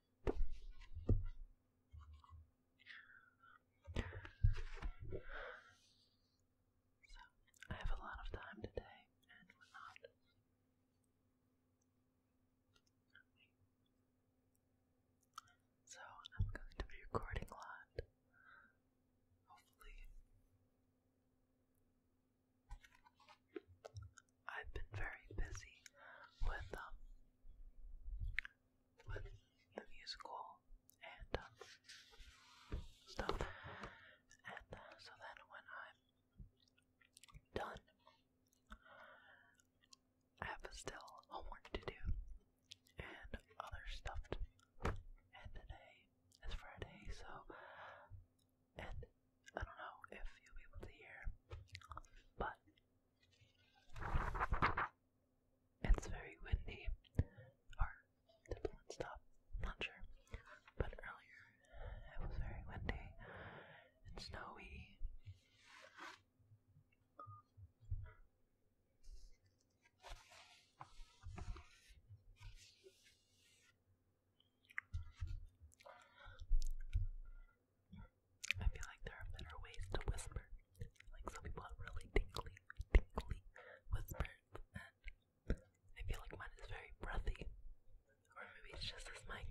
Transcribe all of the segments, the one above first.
So, I have a lot of time today and So, I'm going to be recording a lot. Hopefully. I've been very busy with um with the musical and uh, stuff. And uh, so then when I'm done, I have still homework to do and other stuff. To do. And today is Friday, so and I don't know if you'll be able to hear, but it's very windy, or did the wind stop? not sure. But earlier it was very windy and snowy. I feel like there are better ways to whisper. Like some people have really tingly, tingly whispers, and I feel like mine is very breathy. Or maybe it's just this mic.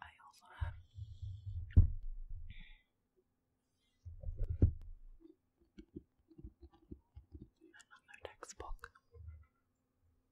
I also have another textbook.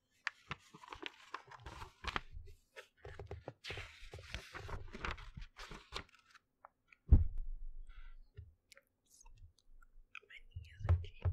My knee is itchy.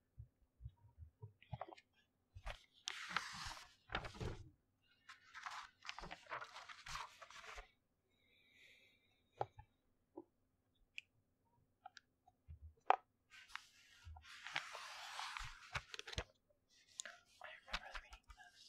I remember reading this.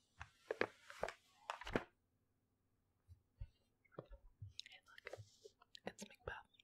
Hey, look, it's Macbeth.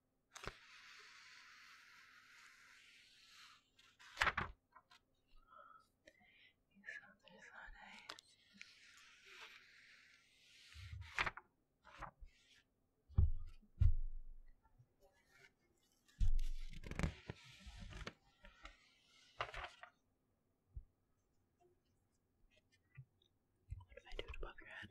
What if I do it above your head?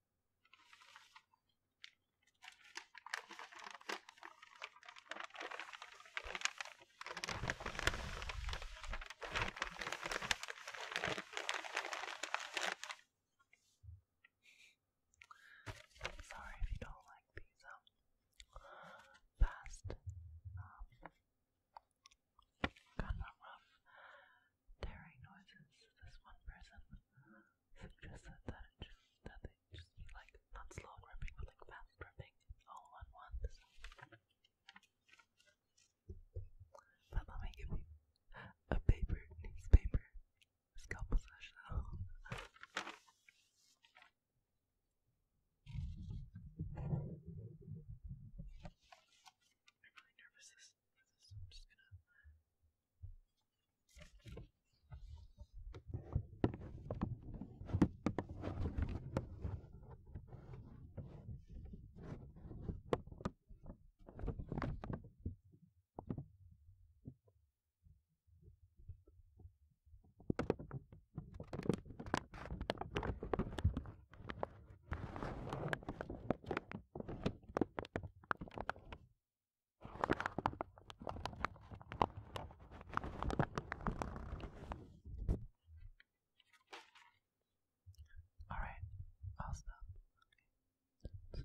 Sorry if you don't like pizza. Past um, kind of rough, tearing noises. This one person suggested that that they just like not slow gripping, but like fast gripping all at once. But let me give you a paper, newspaper, scalpel slash I'm really nervous this this. So I'm just gonna. All right, I'll stop. Okay.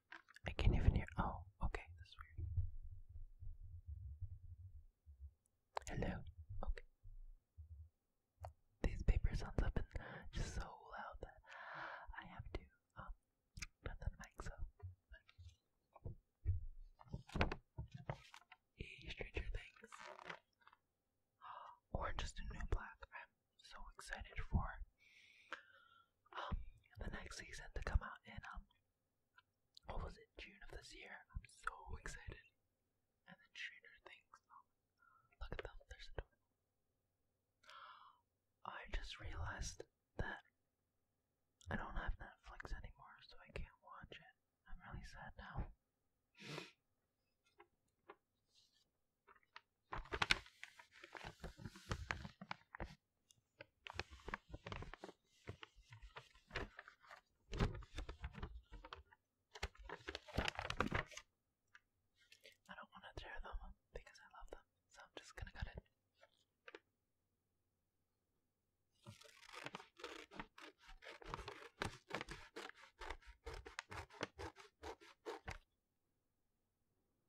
I can't even hear. Oh, okay, that's weird. Hello? Okay. These paper sounds have been just so loud that I have to um, turn the mics up. Stranger Things. Orange is the New Black. I'm so excited for um, the next season to come out and um, what was it, June of this year. I'm so excited. And then Stranger Things. look at them, they're so I just realized that I don't have Netflix anymore, so I can't watch it. I'm really sad now. I don't want to tear them because I love them, so I'm just gonna cut it.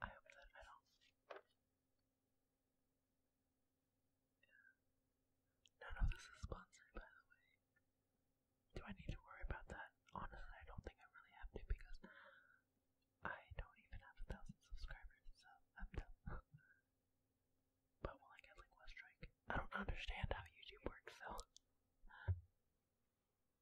I hope that metal. Yeah. None of this is sponsored, by the way. Do I need to worry about that? Honestly, I don't think I really have to because I don't even have a thousand subscribers, so but will I get like one strike? I don't understand how YouTube works, though.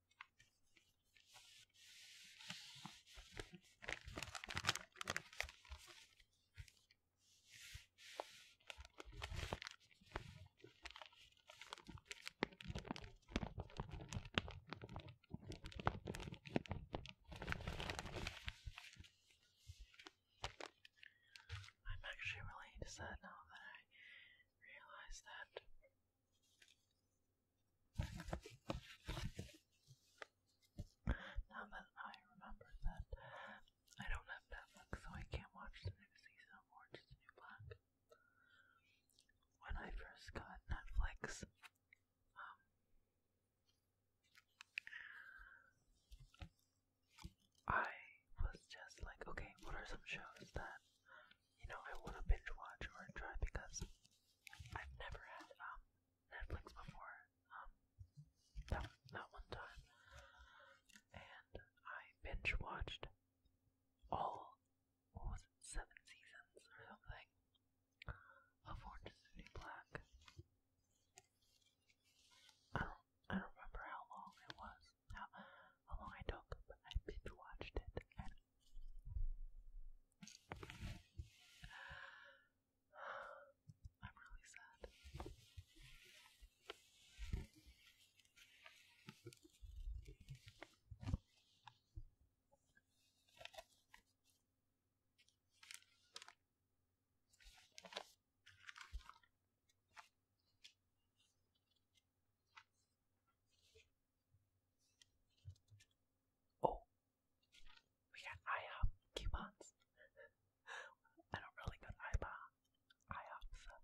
I'm actually really sad now that I realize that now that I remember that I don't have Netflix, so I can't watch the new season of Orange New Black. When I first got Netflix, um, I was just like, okay, what are some shows that you know, I want to binge watch or try because I've never had um, Netflix before. Um, that, that one time, and I binge watched all what was it, seven seasons or something of Orange is the New Black. I don't, I don't remember how long it was, how, how long I took, but I binge watched it, and I'm really sad. Oh, we got IHOP coupons and a really good IHOP. IHOP sub.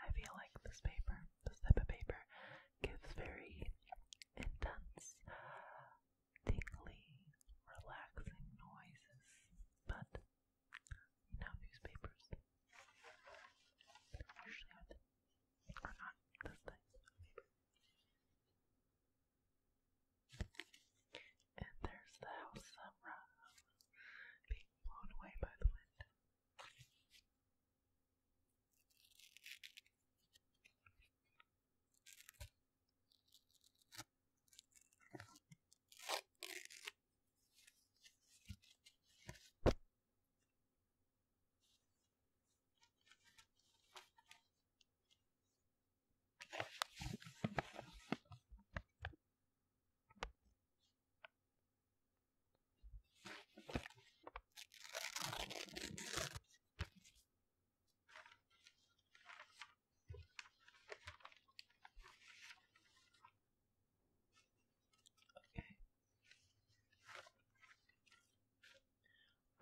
I feel like this paper, this type of paper, gives very intense, tingly, relaxing noises, but you newspapers usually are, not this type of paper. And there's the house of blown away by the wind.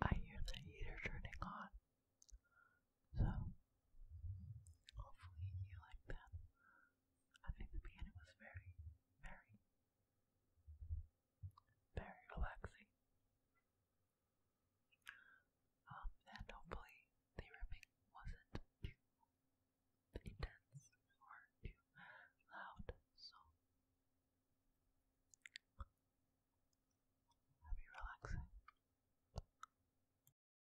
I hear the heater turning on. So Hopefully you like that. I think the piano was very, very, very relaxing. Um, and hopefully the ripping wasn't too intense or too loud, so happy relaxing.